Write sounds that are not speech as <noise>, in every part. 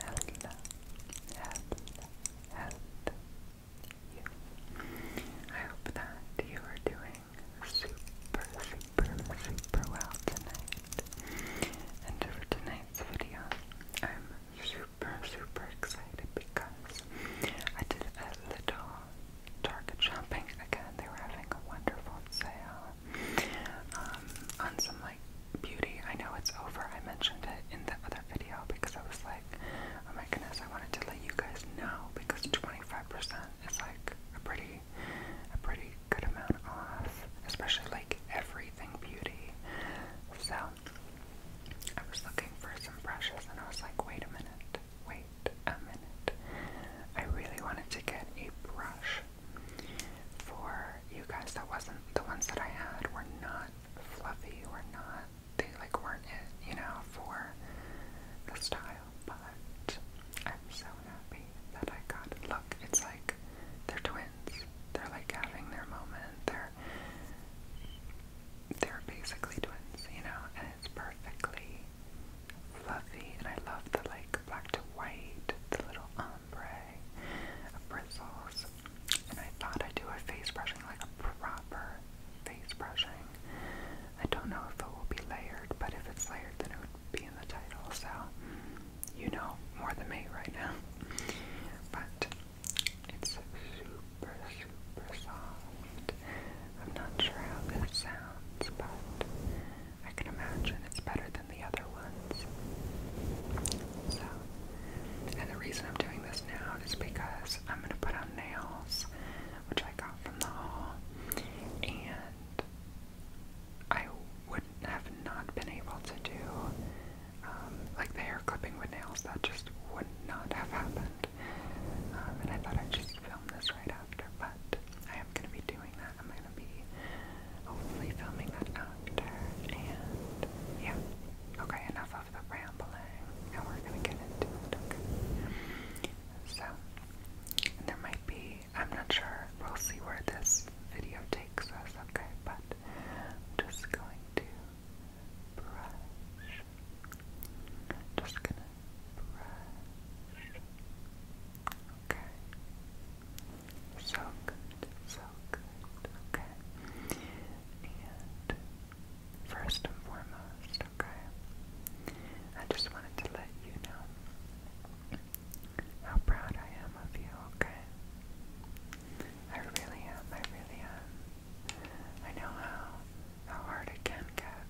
Hello, hello, hello, you. I hope that you are doing super, super, super well tonight. And for tonight's video, I'm super, super excited because I did a little Target shopping again. They were having a wonderful sale um, on some beauty. I know it's over. I mentioned it in the other video because I was like, oh my goodness, I wanted to let you guys know because 25% is like a pretty, a pretty good amount off, especially like everything beauty. So I was looking for some brushes and I was like, wait a minute, wait a minute. I really wanted to get a brush for you guys that wasn't the ones that I had were not fluffy, were not they like weren't it, you know, for the style, but I'm so happy that I got it. Look, it's like they're twins. They're like having their moment. They're they're basically twins, you know, and it's perfectly fluffy and I love the like black to white, the little um ombre, bristles, and I thought I'd do a face brushing, like a proper face brushing. I don't know if it will be layered, but if it's layered, then it would be in the title, so you know more than me right now. But it's super, super soft. I'm not sure how this sounds, but I can imagine it's better than the other ones. So, and the reason I'm doing this now is because I'm going to put on nails, which I got from the haul, and I would have not been able to do, um, like the hair clipping with nails, that just would not have happened. Um, and I thought I'd just film this right after, but I am going to be doing that. I'm gonna be hopefully filming that after. And yeah, okay, enough of the rambling, and we're gonna get into it. So, there might be, I'm not sure, we'll see where this video takes us, okay, but just going to brush, just gonna brush, Okay. So good, so good. Okay. And first and foremost, okay, I just wanted to let you know how proud I am of you, okay? I really am, I really am. I know how how hard it can get,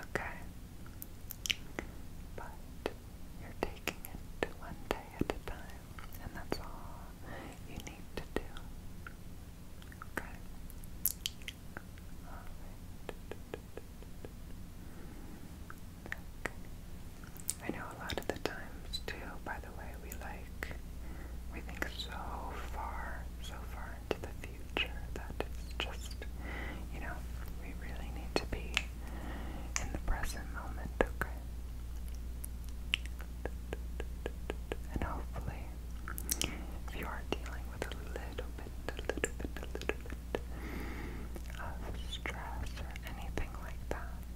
okay? But you're taking it one day at a time, and that's all you need to do. Okay? Alright. Okay. I know a lot of the times, too, by the way, we like, we think so far, so far into the future that it's just, you know, we really need to be in the present moment, okay? And hopefully, if you are dealing with a little bit, a little bit, a little bit of stress or anything like that,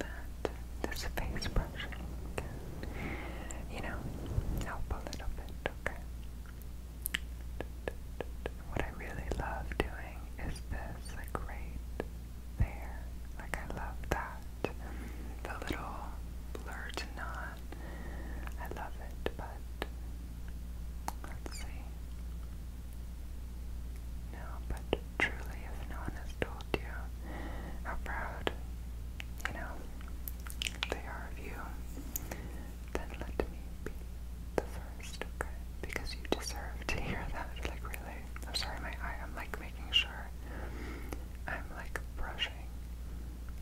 that this face brushing you know, help a little bit, okay? What I really love doing is this, like great there. Like I love that. The little blurred knot. I love it, but let's see. No, but truly, if no one has told you how proud, you know, they are of you then let me be the first, okay? Because you deserve to hear that, like really. I'm sorry, my eye, I'm like making sure I'm like brushing,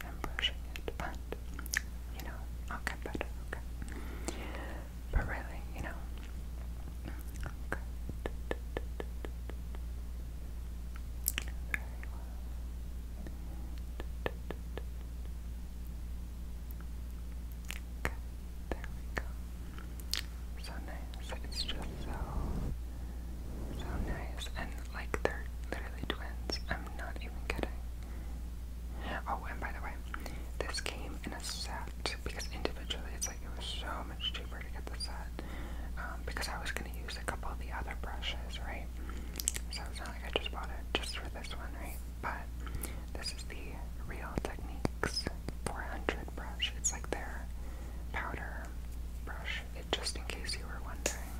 I'm brushing it, but you know, I'll get better, okay? But really, you know, okay. Very Okay, there we go. So nice. It's just so, so nice. And like they're literally twins. I'm not even kidding. Oh, and by the way, this came in a set because individually it's like it was so much cheaper to get the set um, because I was going to use a couple of the other brushes, right? So like I just bought it just for this one, right? But this is the Real Techniques 400 brush. It's like their powder brush, it, just in case you were wondering.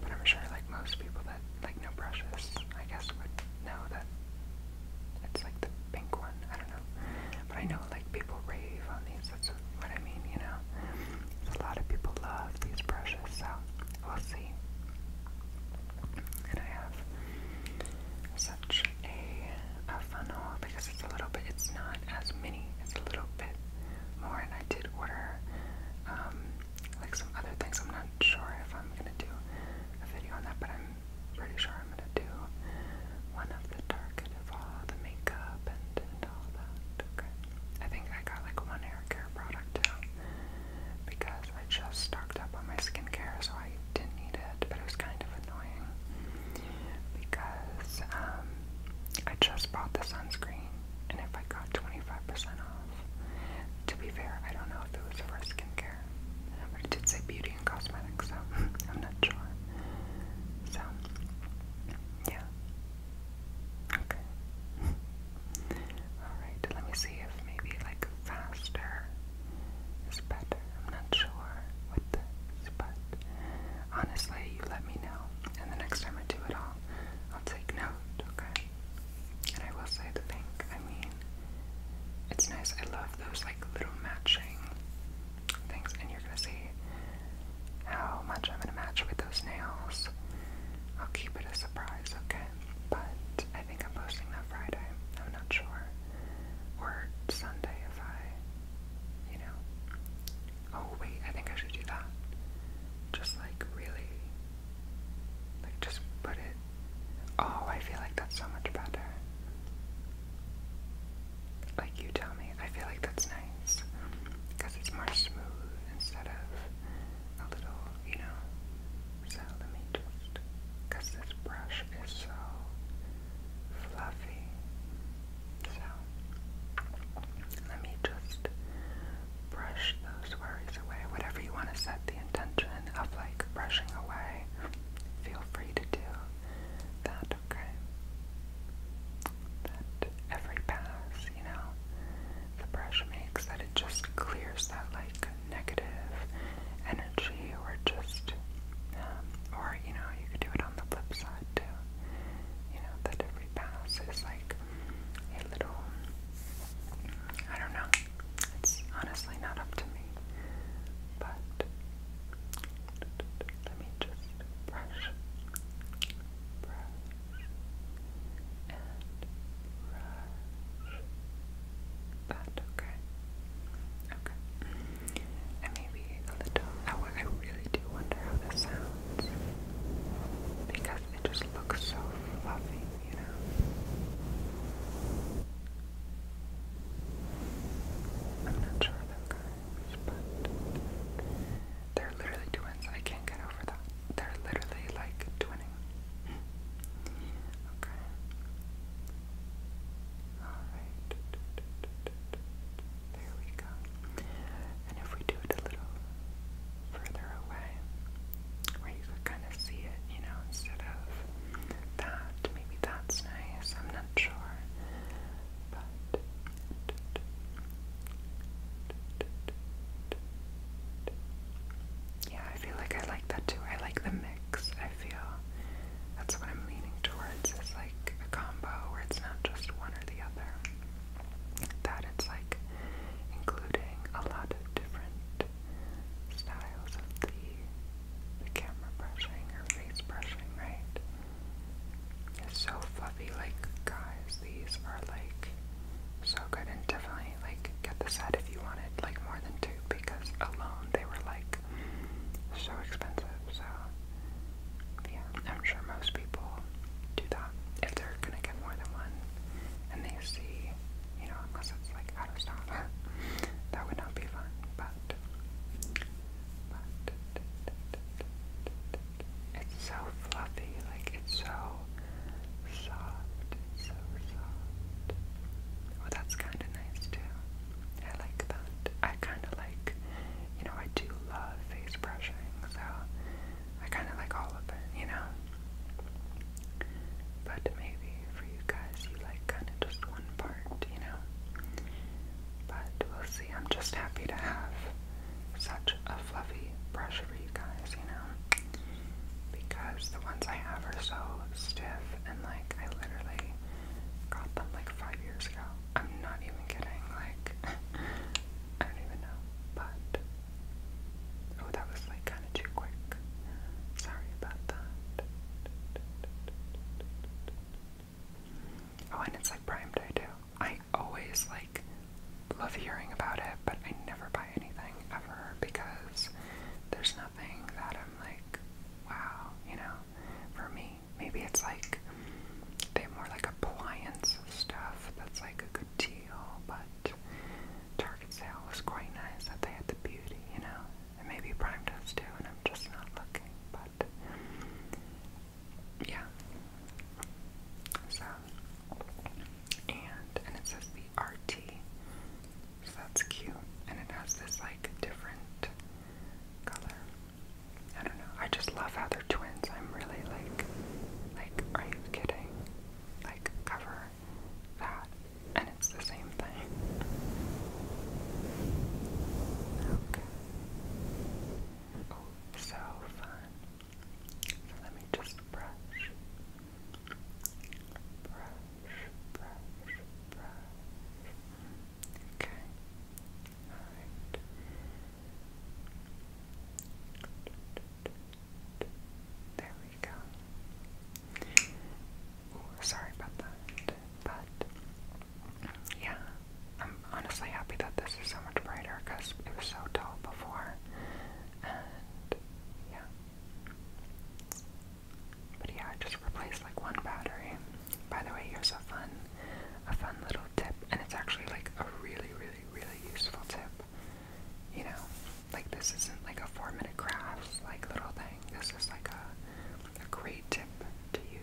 But I'm sure, like most people that like know brushes, I guess would know that it's like the pink one. I don't know, but I know like people rave on these. That's what I mean, you know. A lot of people love these brushes, so We'll see. And I have such a, funnel because it's a little bit, it's not as many, it's a little bit more. And I did order um, like some other things. I'm not sure if I'm going to do a video on that, but I'm pretty sure I'm going to do one of the target of all the makeup and, all that. I think I got like one hair care product too because I just stocked up on my skincare, so I didn't need it, but it was kind of annoying because um, I just bought the sunscreen, and if I got 25% off, to be fair, I don't know if it was for skincare, but it did say beauty and cosmetics, so <laughs> I'm not sure. So, yeah, Okay. Alright, let me see if maybe like faster is better. I'm not sure but honestly, you let me know. And the next time I do it all, I'll take note, okay? And I will say the pink. I mean, it's nice. I love those like little matching things, and you're gonna see how much I'm gonna match with those nails. I'll keep it a surprise, okay? But I think I'm posting that Friday. I'm not sure. Or Sunday if I, you know. Oh, wait, I think I should do that. Just like really. Like just put it. Oh, I feel like that's so much better. Like you tell me. I feel like that's nice. Because it's more smooth instead of a little, you know. So let me just, this brush is so fluffy. So let me just brush those worries away. Whatever you want to set the intention of like brushing away, feel free to do that, okay? That every pass you know, the brush makes that it just clears that like negative energy or just, um, or you know, you could do it on the flip side too. You know, that every pass is like a little, I don't know, it's honestly not up to me, but let me just brush, brush, and okay? Okay. And maybe a little, oh, I really do wonder how this sounds because it just looks so fluffy, you I'm not sure though guys, but they're literally twins. I can't get over that. They're literally like twinning. okay. Alright. There we go. And if we do it a little further away, where you could kind of see it, you know, instead of that, maybe that's nice. I'm not sure. But yeah, I feel like I like that too. I like the mix. I feel that's what I'm leaning towards It's like a combo where it's not just one or the other. That it's like including a lot of different styles of the the camera brushing or face brushing, right? It's so fluffy, like, guys, these are, like, so good, and definitely, like, get the set if you wanted, like, more than two, because alone they were, like, so expensive, so, yeah, I'm sure most people do that, if they're gonna get more than one, and they see, you know, unless it's, like, out of stock, <laughs> that would not be fun, but, but, it's so fluffy, like it's so soft, it's so soft. Oh, that's kind of nice too. I like that. I kind of like, you know, I do love face brushing, so I kind of like all of it, you know? But maybe for you guys, you like kind of just one part, you know? But we'll see. I'm just happy to have such a fluffy brush for you guys, you know? Because the ones I have are so stiff and like I literally got them like five years ago. I'm not even kidding, like <laughs> I don't even know. But oh that was like kinda too quick. Sorry about that. Oh and it's like prime day too. I I always like love hearing about it, but I never buy anything ever because there's nothing that I'm like, wow, you know, for me. Maybe it's like they have more like appliance stuff that's like a good deal, but Target sale was quite nice that they had the beauty, you know, and maybe Prime does too, and I'm just not looking, but yeah. So, and, and it says the RT, so that's cute, and it has this like different color. I don't know, I just love how they're twins. I'm really like, like, are you kidding? Like, cover that, and it's the same thing. Okay. Oh, so fun let me just brush, brush, brush, brush. Okay. All right. There we go. sorry about that, but yeah, I'm honestly happy that this is so much brighter because it was so dull before. And yeah. But yeah, I just replaced like one battery. By the way, here's a fun, a fun little tip, and it's actually like a really, really, really useful tip. You know, like this isn't like a four-minute crafts like little thing. This is like a, a great tip to use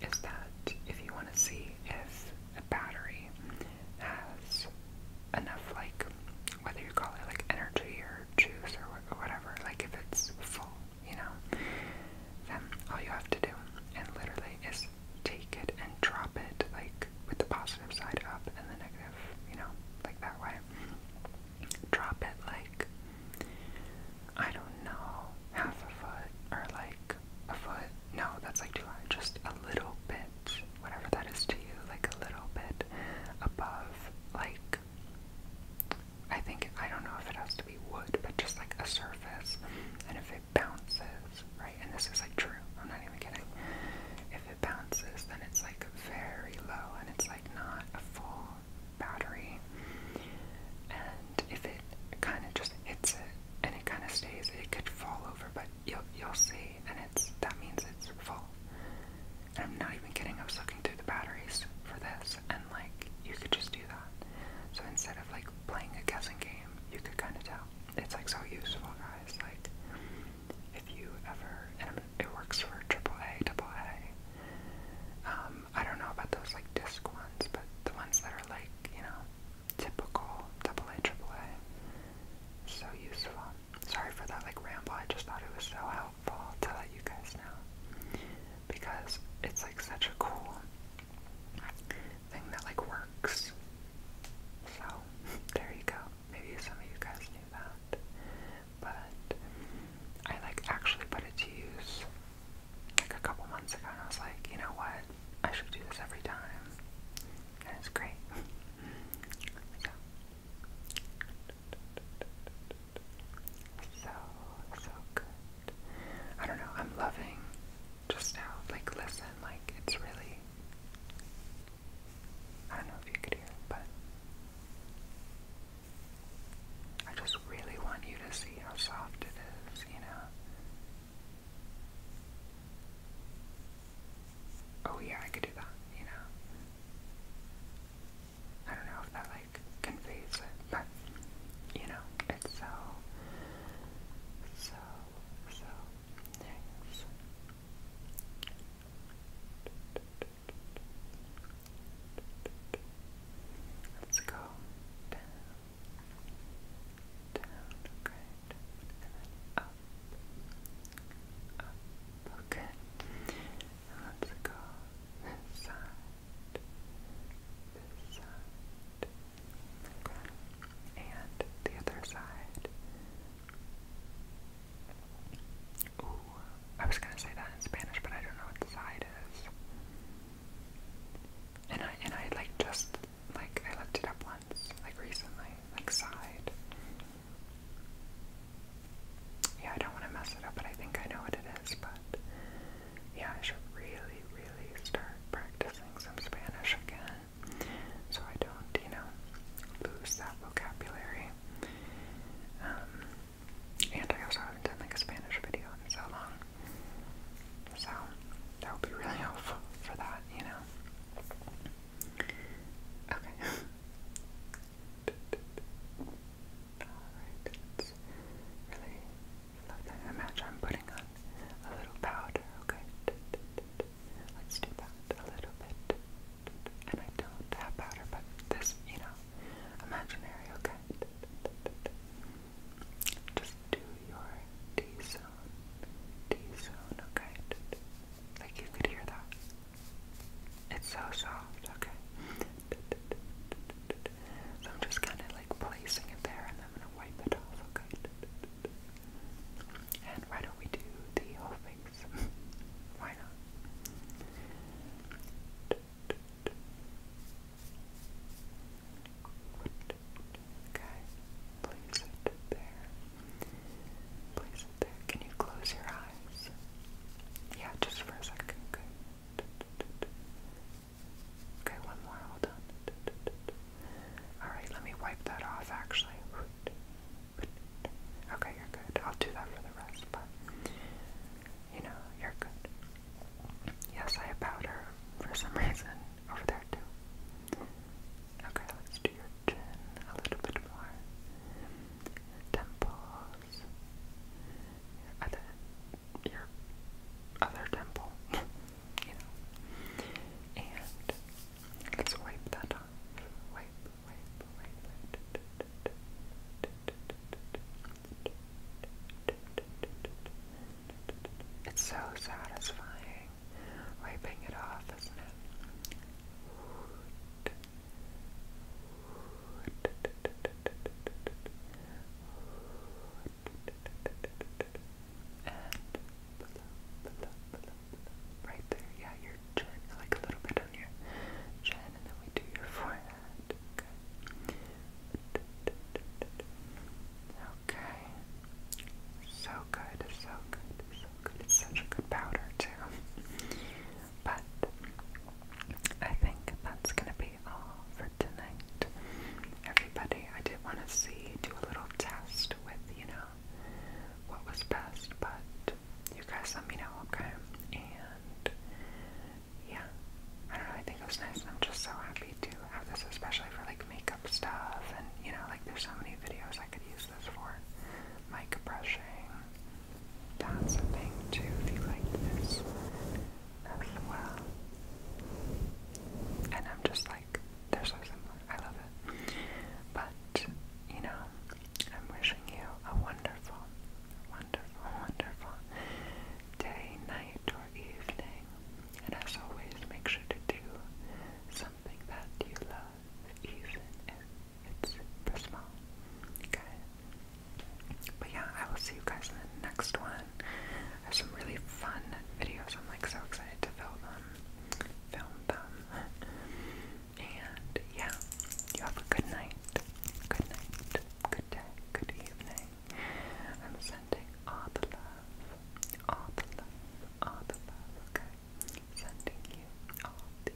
is that if you want to see if a battery has enough, like, whether you call it like energy or juice or whatever, like if it's full, you know, then all you have to do, and literally, is take it and drop it, like, with the positive side up and the negative, you know, like that way. Drop it like I don't know, half a foot or like a foot. No, that's like too high. Just a little bit, whatever that is to you, like a little bit above, like, I think, I don't know if it has to be wood, but just like a surface. And if it bounces, right, and this is like true, I'm not even kidding. If it bounces, then it's like very low and it's like not a full battery. And if it kind of just hits it and it kind of stays, it could fall over, but you'll you'll see, and it's that means it's full. And I'm not even kidding. I was looking through the batteries for this, and like you could just do that. So instead of like playing a guessing game, you could kind of tell. It's like so useful, guys. Like if you ever, and it works for triple AAA, AA. Um, um, I don't know about those like disc ones, but the ones that are like, you know, typical double AA, A, triple A. So useful. Sorry for that like ramble, I just thought it was so helpful to let you guys know. Because it's like such a cool thing that like works. So <laughs> there you go. Maybe some of you guys knew that. But I like actually put it to use like a couple months ago, and I was like, you know what? I should do this every time, and it's great. <laughs> so. So, good. I don't know, I'm loving just now. like, listen, like, it's really. I don't know if you could hear but I just really want you to see how soft it is, you know? Oh yeah, I could do that, you know? I don't know if that like conveys it, but you know, it's so, so, so nice. Let's go down, down, up, up, okay. let's go this side, this side, and the other side. Ooh, I was gonna say that in Spanish, but I don't know what side is. And I and I like just like I looked it up once, like recently, like side. Yeah, I don't want to mess it up, but I think I know what it is, but yeah, I should really, really start practicing some Spanish again. So I don't, you know, lose that vocabulary. Um and I also haven't done like a Spanish video in so long. So that would be really <laughs> helpful for that, you know. Okay. <laughs> Alright, really Imagine I'm putting on a little powder, okay? Let's do that a little bit. And I don't have powder, but this, you know, imaginary, okay? Just do your T zone, T zone, okay? Like you could hear that. It's so soft, okay? So I'm just kind of like placing it there and I'm gonna wipe it off, okay? And why don't we do the whole face? <laughs> why not? Okay, place it there. Place it there. Can you close your eyes? Yeah, just for a second. Good. Okay, one more. Hold on. Alright, let me wipe that off actually. Okay, you're good. I'll do that for the rest, but you know, you're good. Yes, I bowed her for some reason over there too. Okay, let's do your chin a little bit more. Temples. other, your other temple, <laughs> you know. And let's wipe that off. Wipe, wipe, wipe it. It's so satisfying wiping it off, isn't it? right there, yeah, your chin, like a little bit on your chin, and then we do your forehead good. Okay. So good, so good, so good. It's such a good powder too. But I think that's gonna be all for tonight. Everybody, I did want to see do a little test with, you know, what was best, but you guys let me know, okay? And yeah, I don't know, I think it was nice and I'm just so happy to have this, especially for like makeup stuff and you know, like there's so many videos I could use this for. Mic brushing. That's a thing too if you like this as well. And I'm just like, they're so similar. I love it. But, you know, I'm wishing you a wonderful, wonderful wonderful, day, night, or evening. And as always, make sure to do something that you love, even if it's for small. But yeah, I will see you guys in the next one. I have some really fun videos. I'm like so excited to film them. Film them. And yeah, you have a good night. Good night. Good day. Good evening. I'm sending all the love. All the love. All the love. Okay. Sending you all the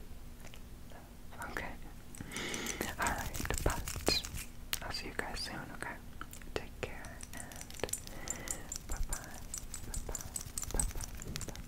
love. Okay. Alright, but I'll see you guys soon, okay? Take care and Bye bye. Bye bye. Bye bye.